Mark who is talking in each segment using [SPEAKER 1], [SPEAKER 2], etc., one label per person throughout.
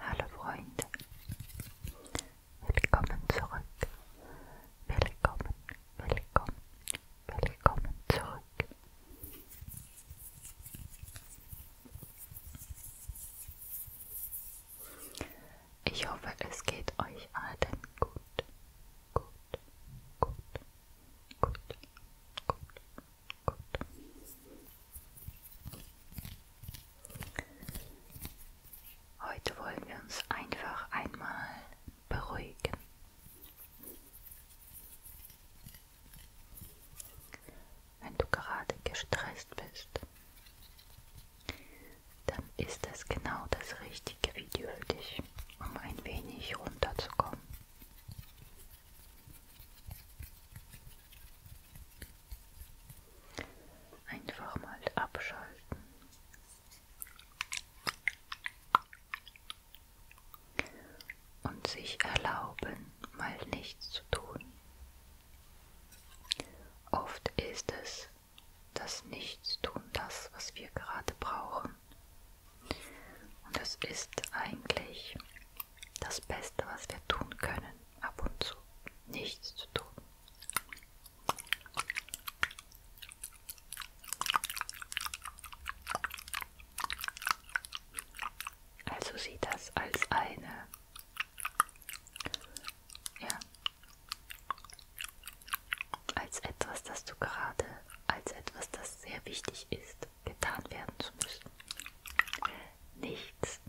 [SPEAKER 1] Hallo Freunde, willkommen zurück, willkommen, willkommen, willkommen zurück. Ich hoffe, es geht euch allen gut, gut, gut, Gut, gut, gut. Heute wollen wir uns einfach einmal beruhigen. Wenn du gerade gestresst bist, dann ist das genau das richtige Video für dich durch, um ein wenig runterzukommen. Einfach mal abschalten. Und sich erlauben, mal nichts zu tun. Oft ist es das Nichtstun das, was wir gerade brauchen. Und das ist eigentlich das Beste, was wir tun können, ab und zu nichts zu tun. Also sieh das als eine ja, als etwas, das du gerade, als etwas, das sehr wichtig ist, getan werden zu müssen. Nichts.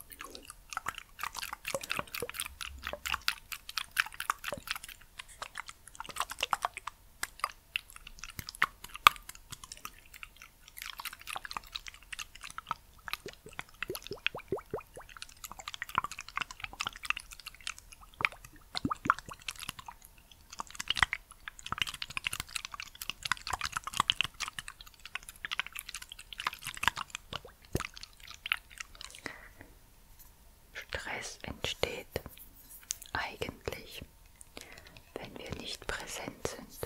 [SPEAKER 1] Stress entsteht eigentlich, wenn wir nicht präsent sind,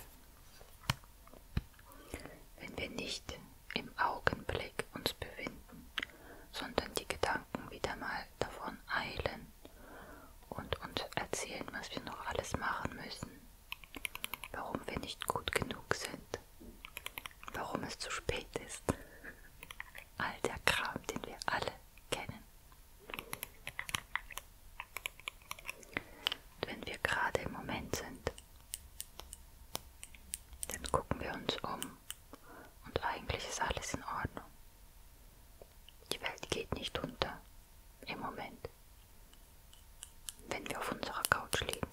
[SPEAKER 1] wenn wir nicht im Augenblick uns befinden, sondern die Gedanken wieder mal davon eilen und uns erzählen, was wir noch alles machen müssen, warum wir nicht gut genug sind, warum es zu spät ist. All der Kram, den wir alle kennen. Und wenn wir gerade im Moment sind, dann gucken wir uns um und eigentlich ist alles in Ordnung. Die Welt geht nicht unter im Moment, wenn wir auf unserer Couch liegen.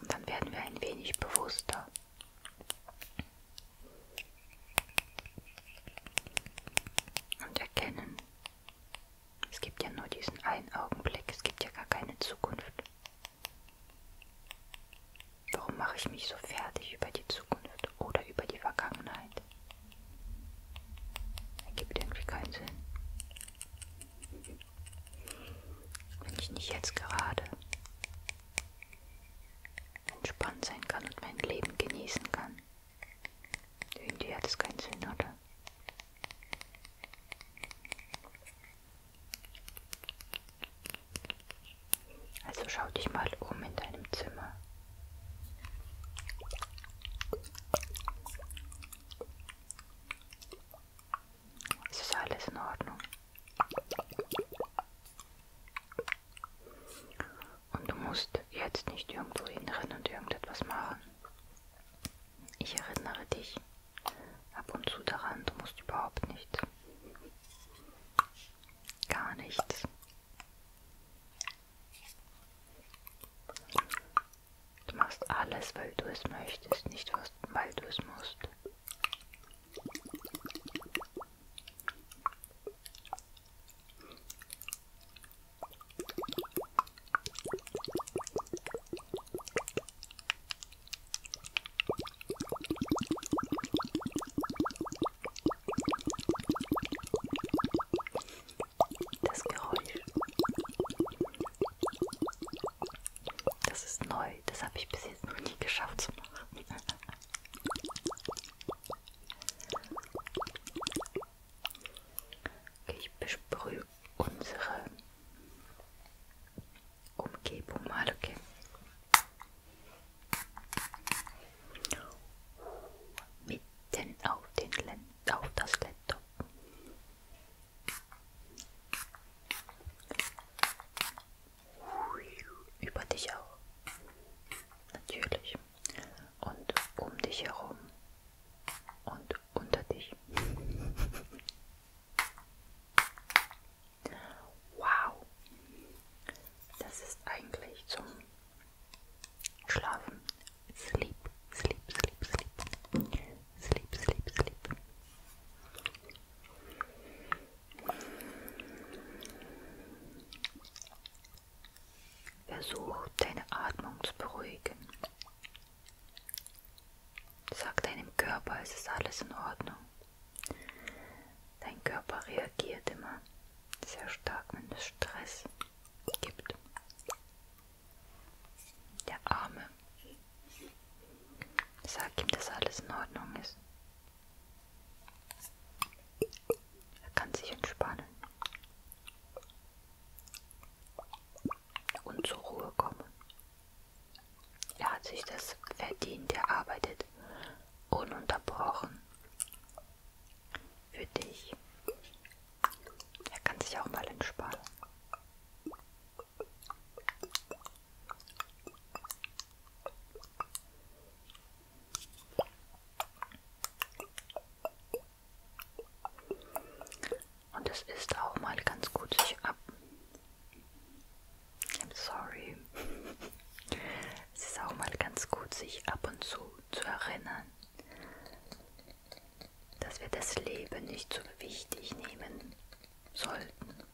[SPEAKER 1] Und dann werden wir ein wenig bewusster. Und erkennen, es gibt ja nur diesen einen Augenblick, es gibt ja gar keine Zukunft. Warum mache ich mich so fertig über die Zukunft oder über die Vergangenheit? Ergibt irgendwie keinen Sinn. Wenn ich nicht jetzt gerade entspannt sein kann und mein Leben genießen kann. Irgendwie hat es keinen Sinn, oder? Also schau dich mal um in deinem Zimmer. Es ist alles in Ordnung. Und du musst jetzt nicht irgendwo hinrennen und irgendetwas machen. Ich erinnere dich ab und zu daran, du musst überhaupt nichts. Gar nichts. Du machst alles, weil du es möchtest, nicht weil du es musst. Das Geräusch. Das ist neu. Das habe ich bis jetzt noch nie geschafft zu machen. Okay, ich besprühe unsere Umgebung mal, okay? Mitten auf, den Lend auf das Laptop. Über dich auch. Natürlich. Und um dich herum und unter dich. Wow, das ist eigentlich zum Schlafen. Sleep, sleep, sleep, sleep. Sleep, sleep, sleep. Versuch deine Atmung zu beruhigen. Sag deinem Körper, es ist alles in Ordnung. Dein Körper reagiert immer sehr stark, wenn es Stress gibt. Der Arme. Sag ihm, dass alles in Ordnung ist. Er kann sich entspannen und zur Ruhe kommen. Er hat sich das verdient, er arbeitet ununterbrochen für dich. Er kann sich auch mal entspannen. Und es ist auch mal ganz gut, sich ab. I'm sorry. es ist auch mal ganz gut, sich ab und zu zu erinnern, dass wir das Leben nicht so wichtig nehmen sollten,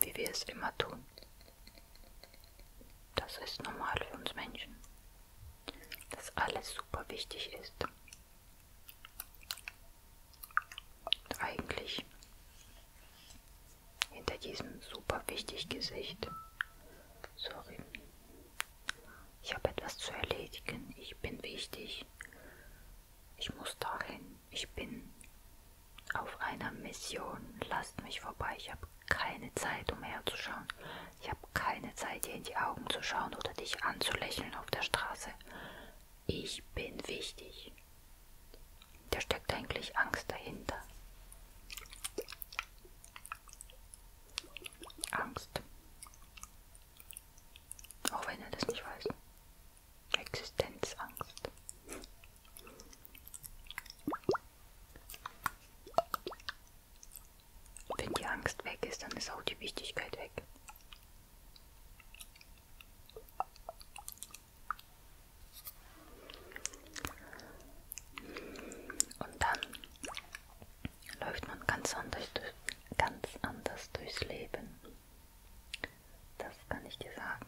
[SPEAKER 1] wie wir es immer tun. Das ist normal für uns Menschen, dass alles super wichtig ist und eigentlich hinter diesem super wichtig Gesicht. Sorry. Ich habe etwas zu erledigen. Ich bin wichtig. Ich muss dahin. Ich bin auf einer Mission. Lasst mich vorbei. Ich habe keine Zeit, um herzuschauen. Ich habe keine Zeit, dir in die Augen zu schauen oder dich anzulächeln auf der Straße. Ich bin wichtig. Da steckt eigentlich Angst dahinter. Angst. Auch wenn er das nicht weiß. Existenzangst. Wenn die Angst weg ist, dann ist auch die Wichtigkeit weg. Und dann läuft man ganz anders, durch, ganz anders durchs Leben. Das kann ich dir sagen.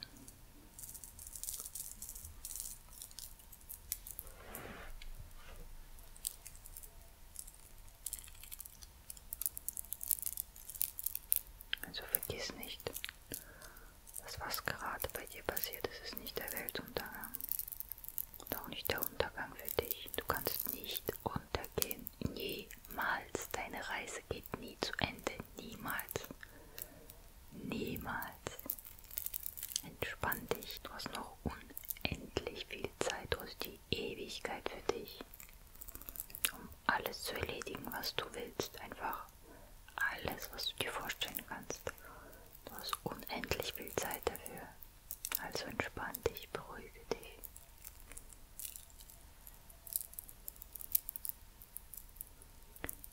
[SPEAKER 1] Also vergiss nicht, dass was gerade bei dir passiert ist, ist nicht der Weltuntergang. Und auch nicht der Untergang für dich. Du kannst nicht untergehen. Niemals. Deine Reise geht nie zu Ende. Niemals. Niemals. Entspann dich. Du hast noch unendlich viel Zeit oder die Ewigkeit für dich, um alles zu erledigen, was du willst. Einfach alles, was du dir vorstellen kannst. Du hast unendlich viel Zeit dafür. Also entspann dich, beruhige dich.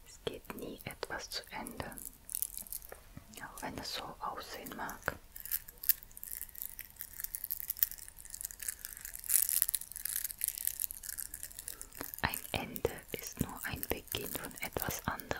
[SPEAKER 1] Es geht nie etwas zu Ende, auch wenn es so aussehen mag. Ein Ende ist nur ein Beginn von etwas anderem.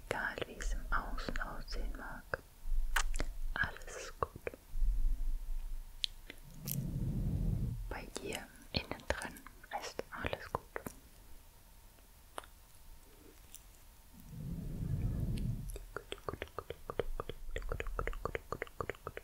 [SPEAKER 1] Egal wie es im Außen aussehen mag, alles ist gut. Bei dir innen drin ist alles gut. Gut, gut, gut, gut, gut, gut, gut, gut, gut, gut, gut, gut,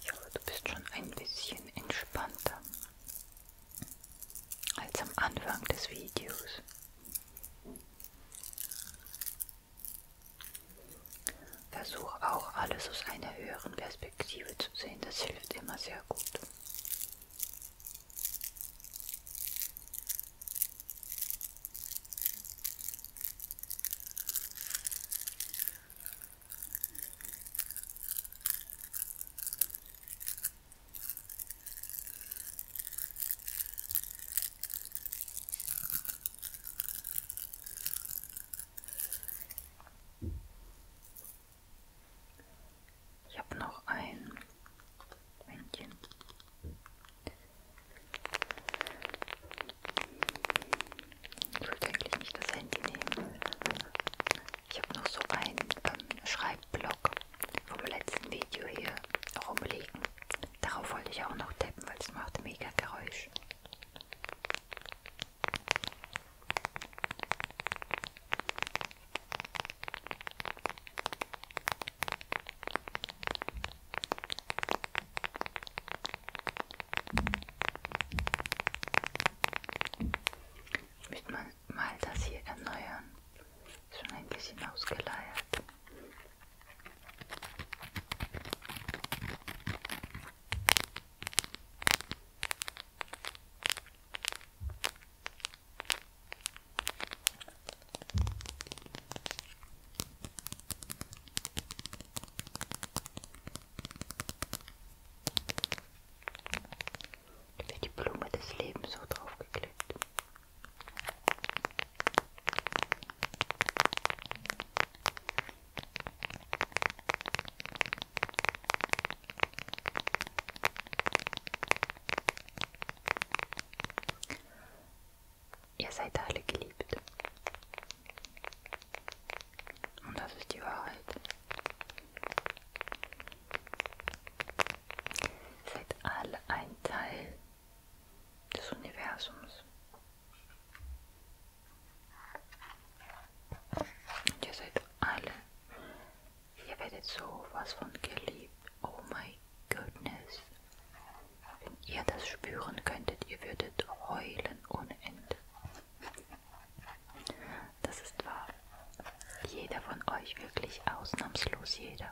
[SPEAKER 1] Ich hoffe, du bist schon ein bisschen entspannter als am Anfang des Videos. Versuch auch alles aus einer höheren Perspektive zu sehen, das hilft immer sehr gut. Ich habe noch ein Männchen. Ich wollte eigentlich nicht das Handy nehmen. Ich habe noch so einen ähm, Schreibblock vom letzten Video hier rumliegen. Darauf wollte ich auch noch tappen, weil es macht mega Geräusch. Müsste man mal das hier erneuern. Ist schon ein bisschen ausgeleiert. Da wird die Blume des Lebens so draufgeklebt. Ihr seid alle geliebt. Und das ist die Wahrheit. Seid alle ein Teil des Universums. Und ihr seid alle. Ihr werdet so was von geliebt. Oh my goodness. Wenn ihr das spüren könntet, ihr würdet heulen ohne Ende. Das ist wahr. Jeder von euch, wirklich ausnahmslos jeder.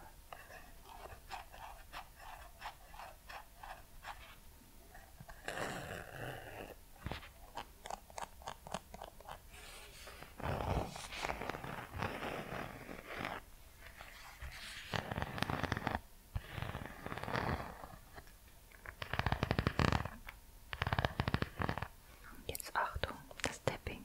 [SPEAKER 1] Jetzt Achtung, das Tapping.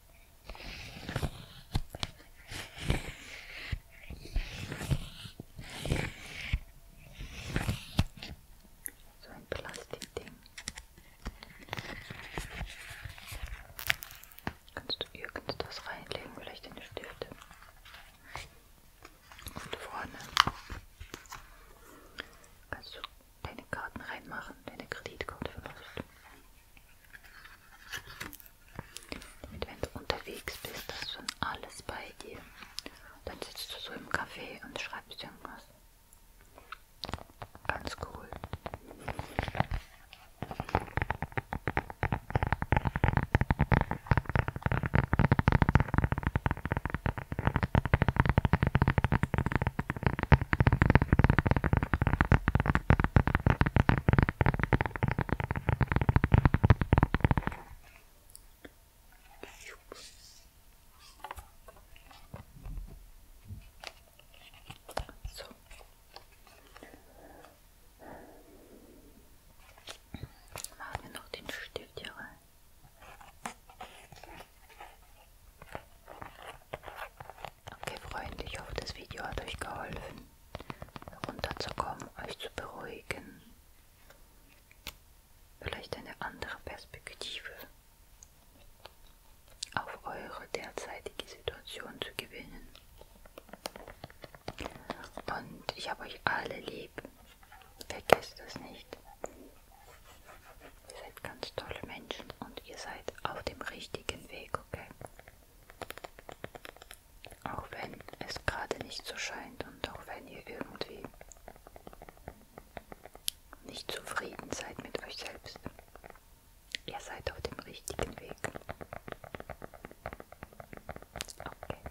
[SPEAKER 1] So ein Plastikding. Kannst du irgend das reinlegen, vielleicht in die Stifte? Und vorne kannst du deine Karten reinmachen, deine Kreditkarte vielleicht. Damit, wenn du unterwegs bist, hast du dann alles bei dir. Dann sitzt du so im Café und schreibst irgendwas. Ganz cool. So. Machen wir noch den Stift hier rein. Okay Freunde, ich hoffe das Video hat euch geholfen runterzukommen, euch zu beruhigen. Vielleicht eine andere Perspektive auf eure derzeitige Situation zu gewinnen. Und ich habe euch alle lieb. Vergesst das nicht. Ihr seid ganz tolle Menschen und ihr seid auf dem richtigen Weg, okay? Auch wenn es gerade nicht so scheint und auch wenn ihr irgendwie nicht zufrieden seid mit euch selbst. Ihr seid auf dem richtigen Weg. Okay.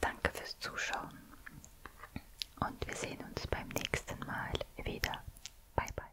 [SPEAKER 1] Danke fürs Zuschauen und wir sehen uns beim nächsten Mal wieder. Bye bye.